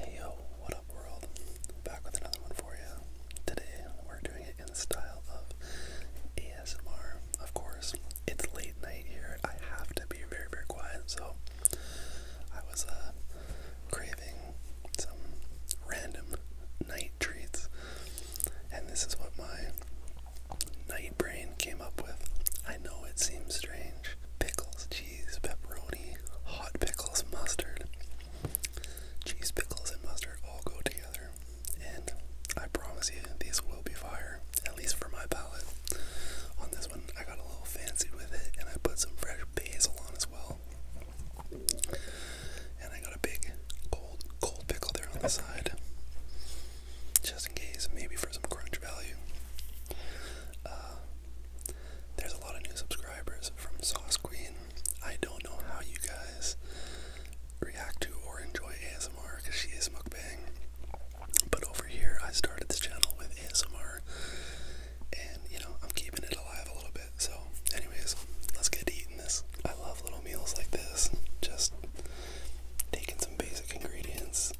Hey yo, what up world? Back with another one for you. Today we're doing it in the style of ASMR. Of course, it's late night here. I have to be very, very quiet, so I was uh, craving some random night treats. And this is what my night brain came up with. I know it seems strange. Pickles, cheese, pepperoni, hot pickles, mustard. Cheese, pickles, and mustard all go together. And I promise you, these will be fire, at least for my palate. On this one, I got a little fancy with it and I put some fresh basil on as well. And I got a big cold cold pickle there on the side. Just in case, maybe for some crunch value. Uh, there's a lot of new subscribers from Sauce Queen. I don't know how you guys react to or enjoy ASMR because she is mukbang. But over here, I started this channel with ASMR, and you know, I'm keeping it alive a little bit. So, anyways, let's get eating this. I love little meals like this. Just taking some basic ingredients.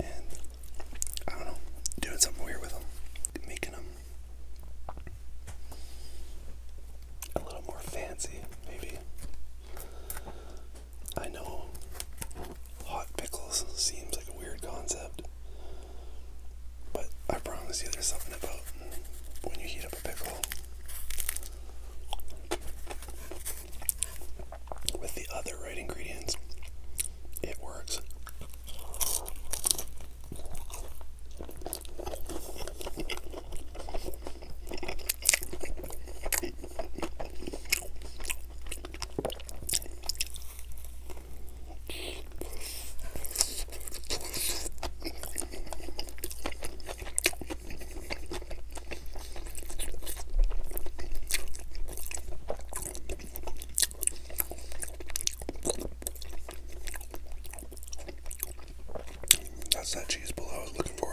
And I don't know, doing something weird with them, making them a little more fancy, maybe. I know Hot pickles seems like a weird concept. But I promise you, there's something about mm, when you heat up a pickle with the other right ingredients, it works. That's that cheese bowl I was looking for.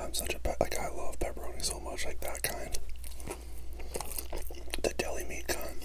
I'm such a pe like I love pepperoni so much, like that kind. The deli meat kind.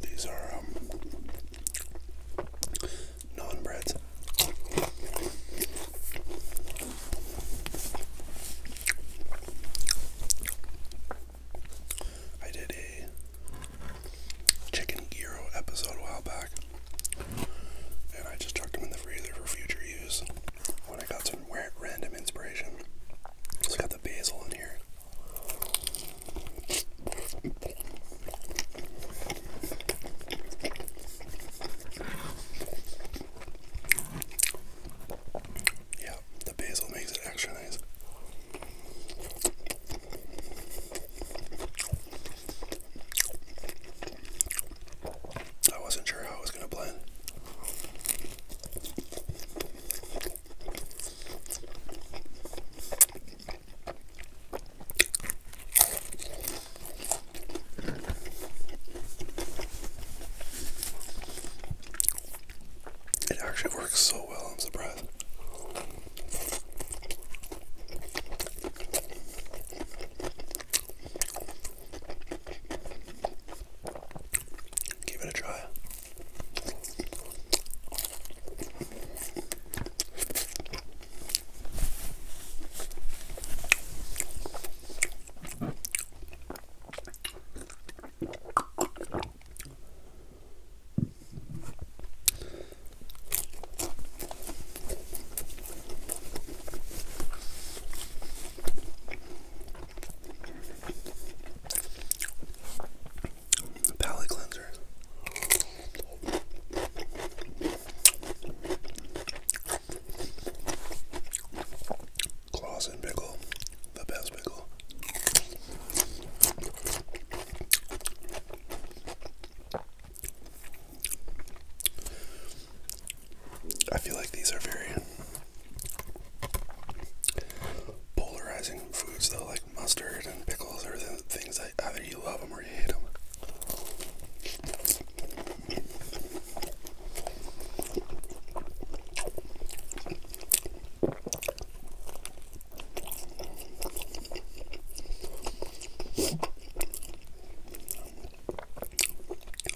These are um, non breads. I did a chicken gyro episode a while back. And I just chucked them in the freezer for future use when I got some random inspiration. just got the basil in here. Yeah, the basil makes it extra nice. I wasn't sure how it was going to blend. It actually works so well, I'm surprised. Give it a try. Palette cleanser. Claws pickle, the best pickle. I feel like these are very polarizing foods, though, like mustard and pickles are the things that either you love them or you hate them.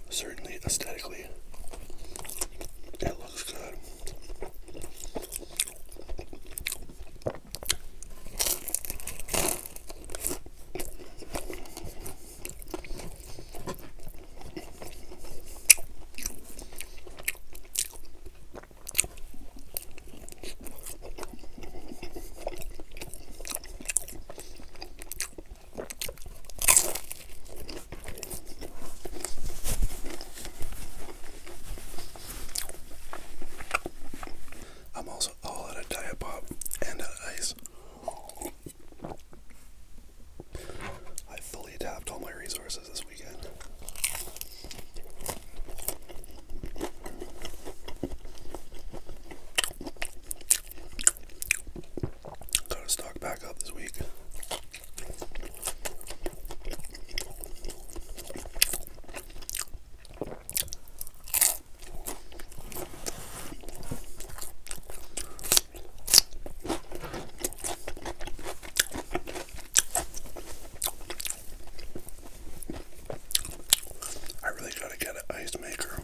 Certainly, aesthetically, it looks good. I'm also all out of diet and out ice. I fully tapped all my resources this Got to stock back up this week. I really gotta get an ice maker.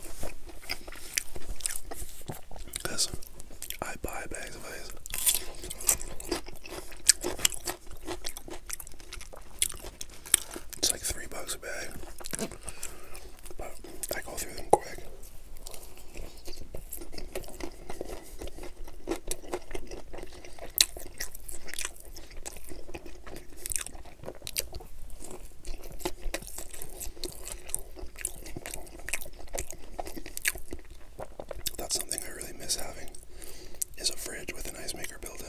Because I buy bags of ice. It's like three bucks a bag. But I go through them quick. That's something I really miss having is a fridge with an ice maker built in.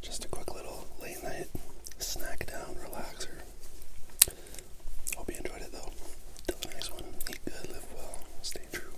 Just a quick little late night snack down relaxer. Hope you enjoyed it though. Till the next one, live well, stay true.